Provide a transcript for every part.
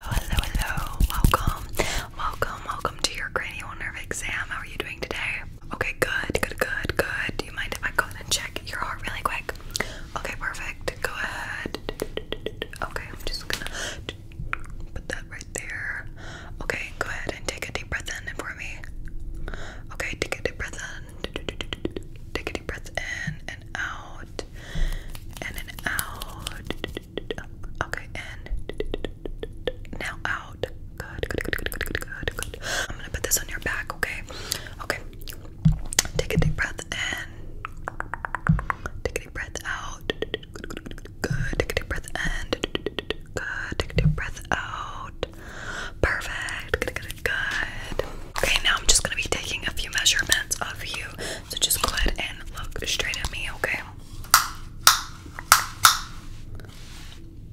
Hello, hello, welcome, welcome, welcome to your cranial nerve exam. How are you doing today? Okay, good, good, good, good. Do you mind if I go ahead and check your heart really quick? Okay, perfect. Go ahead. Okay, I'm just gonna put that right there. Okay, go ahead and take a deep breath in for me. Okay, take a deep breath in. Take a deep breath in out, and an out. Okay, and now out. Good, good, good, good, good, good, good. I'm gonna put this on your back, okay? Okay. Take a deep breath and Take a deep breath out. Good. Take a deep breath in. Good. Take a deep breath out. Perfect. Good. Good. Good. Okay, now I'm just gonna be taking a few measurements of you. So just go ahead and look straight at me, okay?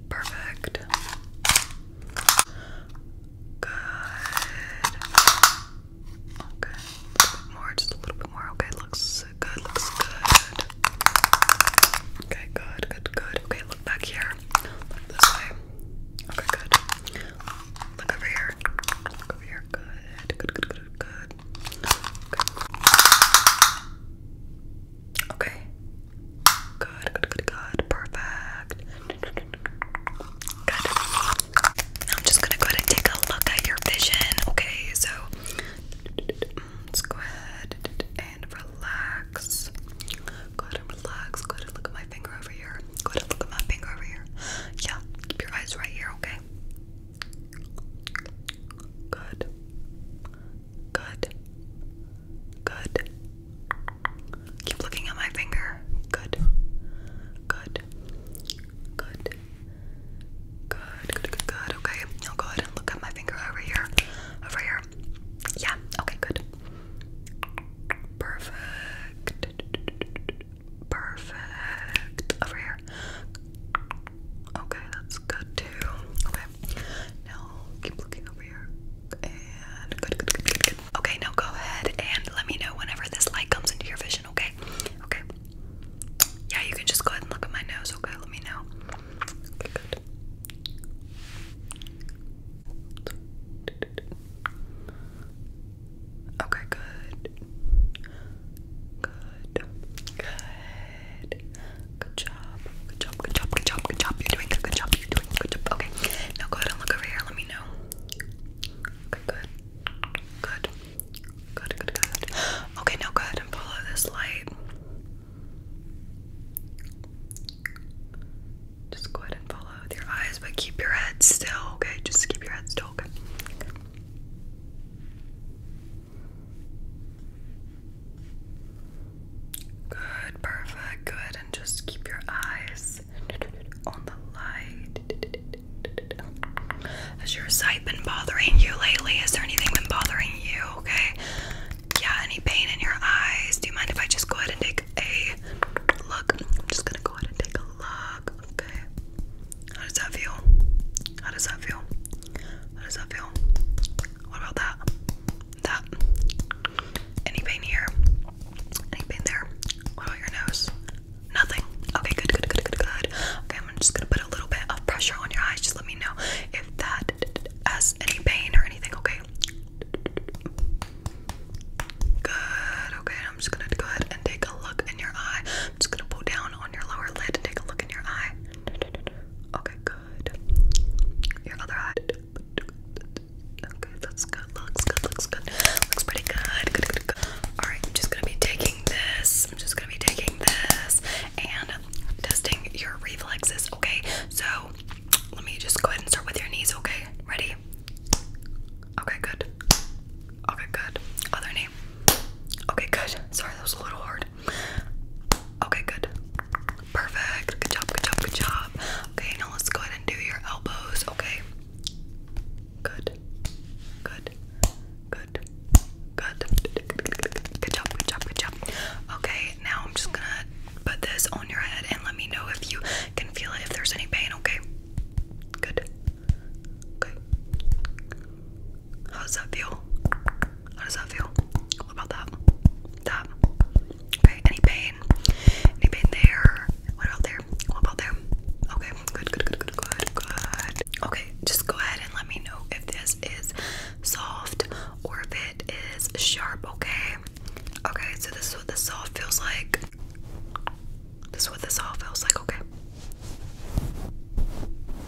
Perfect. Good. Okay. more, just a little bit more. Okay, looks good, looks good. Okay, good, good, good. Okay, look back here. this way. Okay, good. Look over here. Look over here. Good. Good, good, good, good. Okay. Good, good, good, good. Perfect. Good. I'm just gonna go ahead and take a look at your vision. Okay, so let's go ahead and relax. Go ahead and relax. Go ahead and look at my finger over here. Go ahead and look at my finger over here. Yeah, keep your eyes right here, okay? Good. Good. Good. Keep looking at my finger. Good. Good. Good. Good. Good. Good. Okay. Now go ahead and look at my finger over here. Over here. Yeah. Okay. Good. Perfect. Perfect. Over here. Okay, that's good too. Okay. Now keep looking over here. And good, good, good, good, good. Okay, now go ahead and let me know whenever this light comes into your vision, okay? Okay. Yeah, you can just go ahead and look at my nose, okay? Let me know. Okay, good. Okay, good. Good. Good. Good job. Good job. Good job. Good job. Good job. You're doing a good job. You're doing a good job. Okay. Now go ahead and look over here. Let me know. Okay, good. Good. Good, good, good. Okay, now go ahead and follow this light. Just go ahead and follow with your eyes, but keep your head still, okay? Just keep your head still, okay? Good, perfect, good. And just keep your eyes on the light. Has your sight been bothering you lately? Is there anything been bothering you, okay? yeah, any pain in your eyes? Do you mind if I just go ahead and take a look? I'm just gonna go ahead and take a look. Okay. How does that feel? How does that feel? How does that feel? What about that? That? Any pain here? Any pain there? What about your nose? Nothing. Okay, good, good, good, good, good. Okay, I'm just gonna put a little bit of pressure on your eyes. Just let me know if that has any pain or anything, okay? Good. Okay, I'm just gonna go ahead and take a look in your eye. I'm just gonna pull down on your lower lid and take a look in your eye. Okay, good. Your other eye. Okay, that's good. Looks good. Looks good. Looks pretty good. Good. Good. good. All right, I'm just gonna be taking this. I'm just gonna be taking this and testing your reflexes. Okay, so let me just go ahead and start with your knees, okay? Ready? Okay, good. Okay, good. Other knee. Okay, good. Sorry, that was a little hard. Okay, good. Perfect. Good job, good job, good job. Okay, now let's go ahead and do your elbows, okay? Good. Good. Good. Good. Good job, good job, good job. Okay, now I'm just gonna put this on your head and let me know if you can feel it, if there's any pain, okay? Good. Okay. How that feel? How does that feel? What about that? That? Okay, any pain? Any pain there? What about there? What about there? Okay, good, good, good, good, good, good. Okay, just go ahead and let me know if this is soft or if it is sharp, okay? Okay, so this is what the soft feels like. This is what the soft feels like, okay?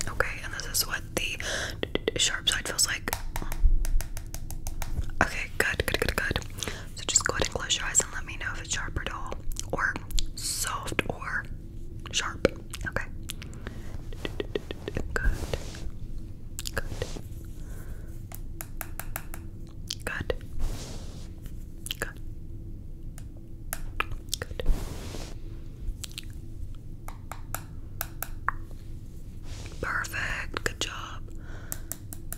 Okay, and this is what the sharp side feels like. Okay, good, good, good, good. So just go ahead and close your eyes and let me know if it's sharp or dull, or soft, or Sharp. Okay. Good. Good. Good. Good. Good. Perfect. Good job.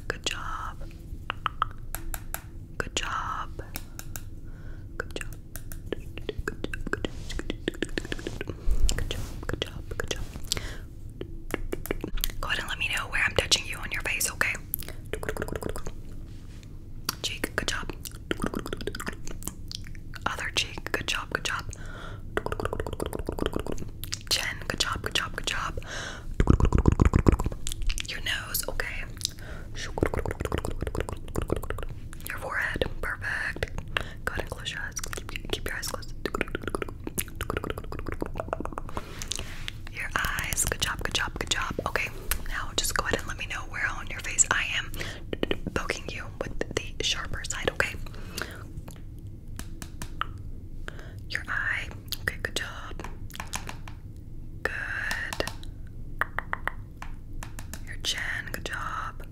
Good job. Good job. Good job. Good job, good job, good job. Go ahead and let me know where I'm touching you on your face, okay? Cheek, good job. Other cheek, good job, good job. Chin, good job, good job, good job. Your nose, okay. Your forehead, perfect. Go and close your eyes. keep your eyes closed. Your eyes, good job, good job, good job. Okay, now just go ahead and let me know where on your face I am poking you with the sharper side, okay? Your eye, okay, good job. Good. Your chin, good job.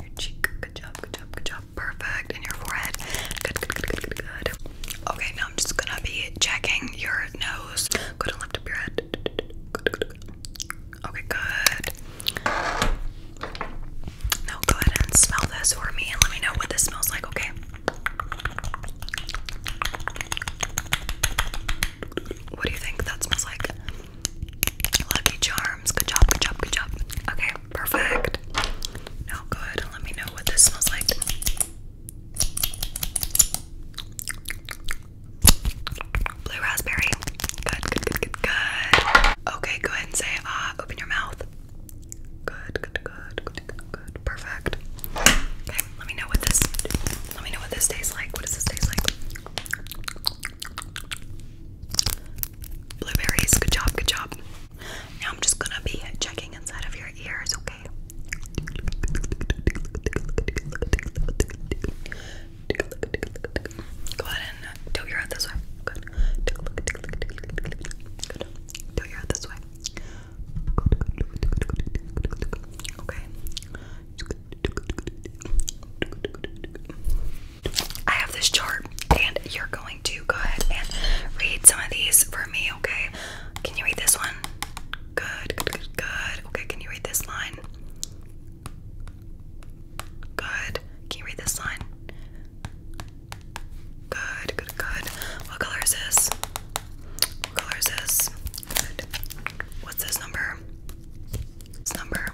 Your cheek, good job, good job, good job. Perfect. And your forehead, good, good, good, good, good, Okay, now I'm just gonna be checking your nose. Good and lift up your head. Good, good, good. Okay, good. Now go ahead and smell this or me and let me know what this smells like, okay? What do you think that smells like? Lucky Charms. Good job, good job, good job. Okay, perfect. Now go let me know what this smells like. Blue raspberry. Good, good, good, good, good. Okay, go ahead and say, ah, open your mouth. Good, good, good, good, good, Perfect let me know what this let me know what this tastes like. What does this taste like? Blueberries, good job, good job. Now I'm just gonna be checking inside of your ears, okay? Go ahead and tilt your head this way. Good. Tilt your head this way. Okay. I have this chart, and you're going to go ahead and read some of these for me, okay? Can you read this one? Good, good, good, good. Okay, can you read this line? Good. Can you read this line? Good, good, good. What color is this? What color is this? Good. What's this number? This number.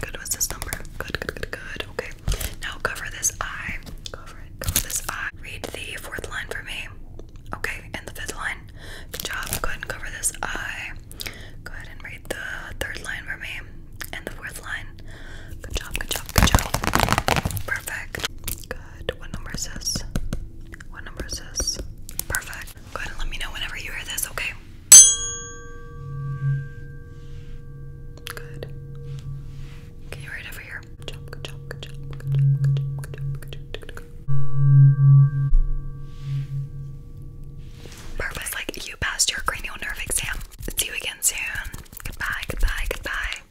Good. What's this number? Good, good, good, good. Okay. Now cover this eye. Cover it. Cover this eye. Read the fourth line for me. Okay. And the fifth line. Good job. Good. and cover this eye. Go ahead and read the third line for me. And the fourth line. Good job, good job, good job. Perfect. Good. Good. What number is this? What number is this? Perfect. Go let me know whenever you hear this, okay? Good. Okay, right over here. Good job, good job, good job, good job, good job, good job, good job, good job. Purpose, like you passed your cranial nerve exam. See you again soon. Goodbye, goodbye, goodbye.